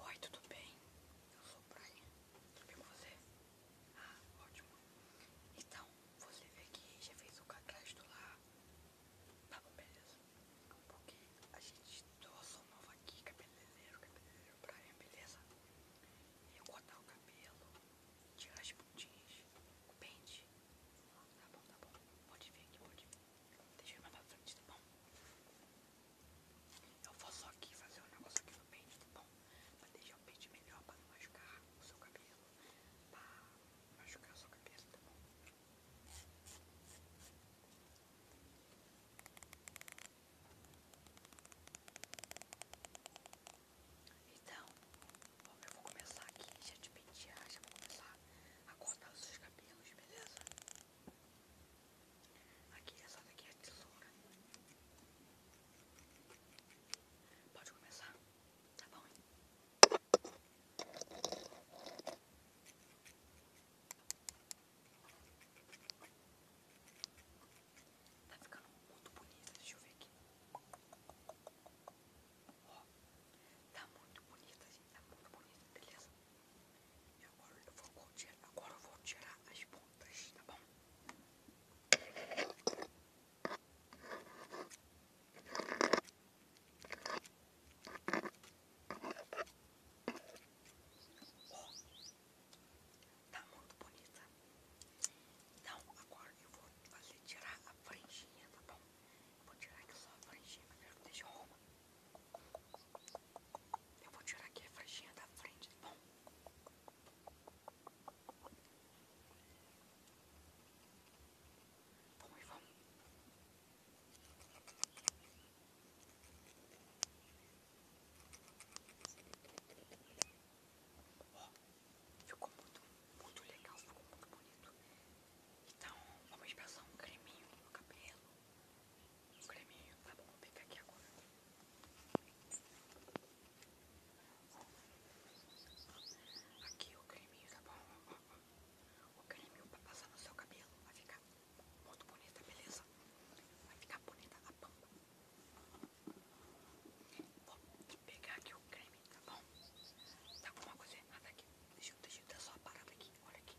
Oi, tudo bem? Eu sou o Brian. Tudo bem com você? Ah, ótimo. Então, você vê que já fez o cadastro lá. Tá bom, beleza. Porque a gente trouxe um novo aqui, cabeleireiro, cabeleireiro Brian, beleza? Eu cortar o cabelo, tirar as pontinhas, o pente. Tá bom, tá bom. Pode vir aqui, pode vir. Deixa eu mandar pra frente, tá bom? Eu vou só aqui fazer um negócio aqui no pente, tá bom? Pra deixar o pente melhor, pra não machucar o seu cabelo. Pra machucar o seu cabelo, tá bom? Então, eu vou começar aqui, já de pentear, já vou começar a cortar os seus cabelos, beleza? Aqui, essa daqui é a tesoura. Pode começar? Tá bom, hein? Tá ficando muito bonita, deixa eu ver aqui. Ó, tá muito bonita, gente, tá muito bonita, beleza? E agora eu vou tirar, agora eu vou tirar as pontas, tá bom? Ó, tá muito bonita. Então agora eu vou fazer tirar a franjinha, tá bom? vou tirar aqui só a franjinha, mas eu quero que deixe a roupa. Eu vou tirar aqui a faixinha da frente, tá bom? vamos vamos. Ó, ficou muito, muito legal, ficou muito bonito. Então, vamos passar um creminho no cabelo o creminho, tá bom? Vou pegar aqui agora. Aqui o creminho, tá bom? O creminho pra passar no seu cabelo. Vai ficar muito bonita, beleza? Vai ficar bonita a pampa. Vou pegar aqui o creme, tá bom? Tá alguma coisa errada aqui. Deixa eu, deixa eu só a parada aqui. Olha aqui.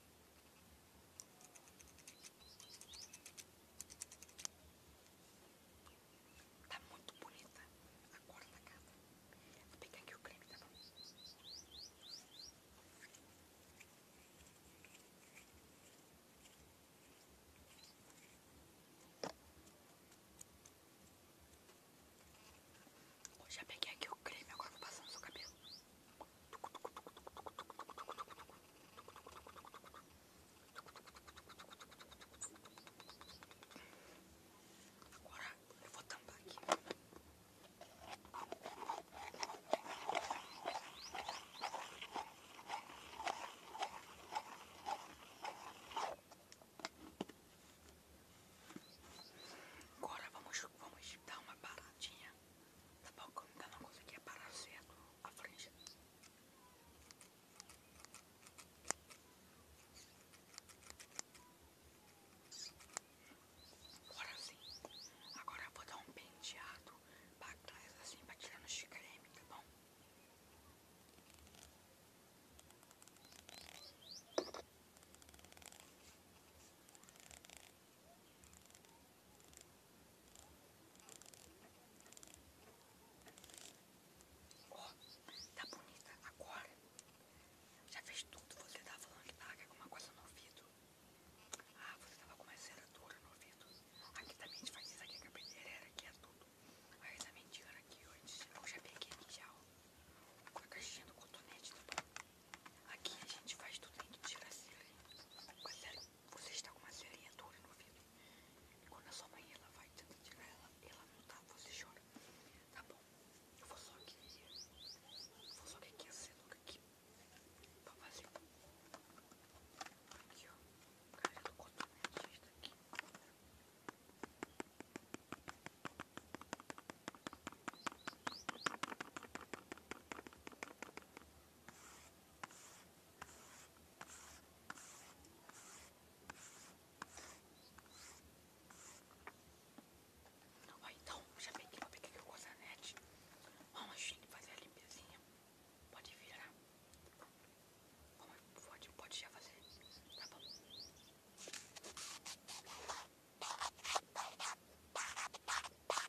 Tá muito bonita a cor da Vou pegar aqui o creme, tá bom? Bom, já peguei aqui o creme, agora vou passar no seu cabelo. Agora eu vou tampar aqui. Agora vamos, vamos dar uma paradinha Tá bom, como ainda não conseguia parar certo a franja. Agora sim. Agora eu vou dar um penteado pra trás, assim, pra tirar no creme, tá bom? Ó, tá bonita agora. Já fez tudo, você tá falando que tá com é alguma coisa no ouvido. Ah, você tava com uma zeradura no ouvido. Aqui também a gente faz isso aqui, que é a pedreira aqui é tudo. Aí essa mentira aqui, ó, eu já peguei aqui já, ó. A caixinha do cotonete, tá bom? Aqui a gente faz tudo, tem que tirar a serinha. Você está com uma serinha dura no ouvido. Quando a sua mãe ela vai tentar tirar ela, ela não tá, você chora. Tá bom, eu vou só aqui. Eu vou só aqui, você nunca aqui. vou fazer. Aqui, ó. Cara do cotonete está aqui então, já peguei, vou pegar aqui o cosanete. Vamos fazer a limpezinha. Pode virar. Vamos, pode, pode já fazer. Tá bom.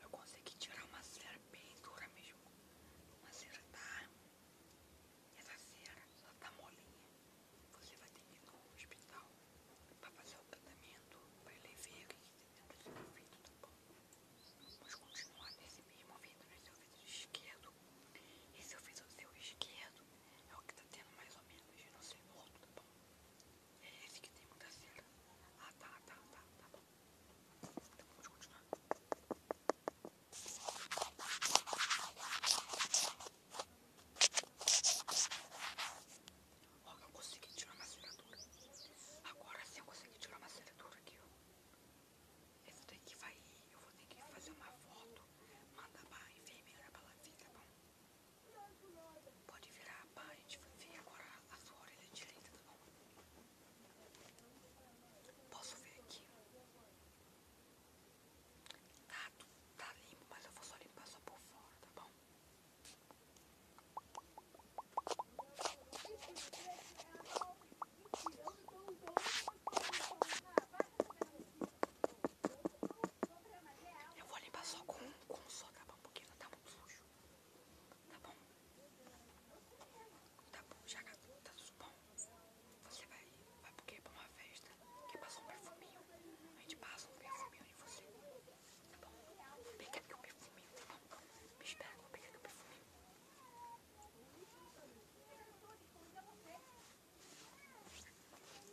Eu consegui tirar uma cera bem dura mesmo. Uma cera tá. Essa cera só tá molinha. Você vai ter que ir no hospital pra fazer o tratamento, pra ele ver o que tem dentro do seu ouvido, tá bom? Vamos continuar nesse mesmo ouvido, nesse ouvido esquerdo. E se eu fiz o seu esquerdo, é o que tá tendo mais ou menos, eu não sei o outro, tá bom? É esse que tem muita cera. Ah, tá, tá, tá, tá bom. Então vamos continuar. Olha, eu consegui tirar uma serradura. Agora sim eu consegui tirar uma serradura aqui, ó. Essa daqui vai ir. Eu vou ter que fazer uma foto. Manda pra enfermeira pra ela ver, tá bom? Pode virar pra gente ver agora a sua orelha direita, tá bom? Posso ver aqui? Tá, tá limpo, mas eu vou só limpar só por fora, tá bom? Eu vou limpar só com, com só pra um pouquinho, tá muito sujo. Tá bom? Tá bom, já tá tudo bom. Você vai, vai porque pra uma festa que passou um perfuminho. A gente passa um perfuminho em você. Tá bom? Vou pegar aqui o perfuminho, tá bom? Me espera, vou pegar aqui o perfuminho.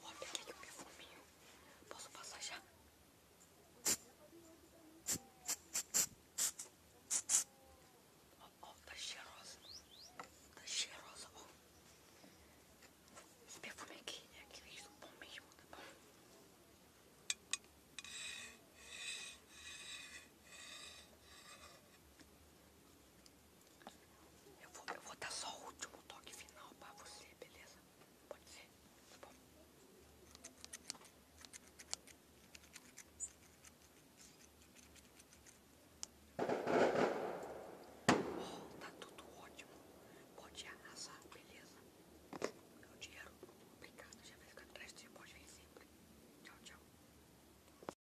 Olha oh, o perfuminho. Posso passar já? Ó, oh, ó, oh, tá cheirosa. Tá cheirosa, ó. Esse perfume aqui é aquele do bom mesmo, tá bom? Eu vou, eu vou dar só o último toque final pra você, beleza? Pode ser? Tá bom? Oh, tá tudo ótimo. Pode arrasar, beleza? Meu é dinheiro, obrigado. Já vai ficar atrás de você, pode vir sempre. Tchau, tchau.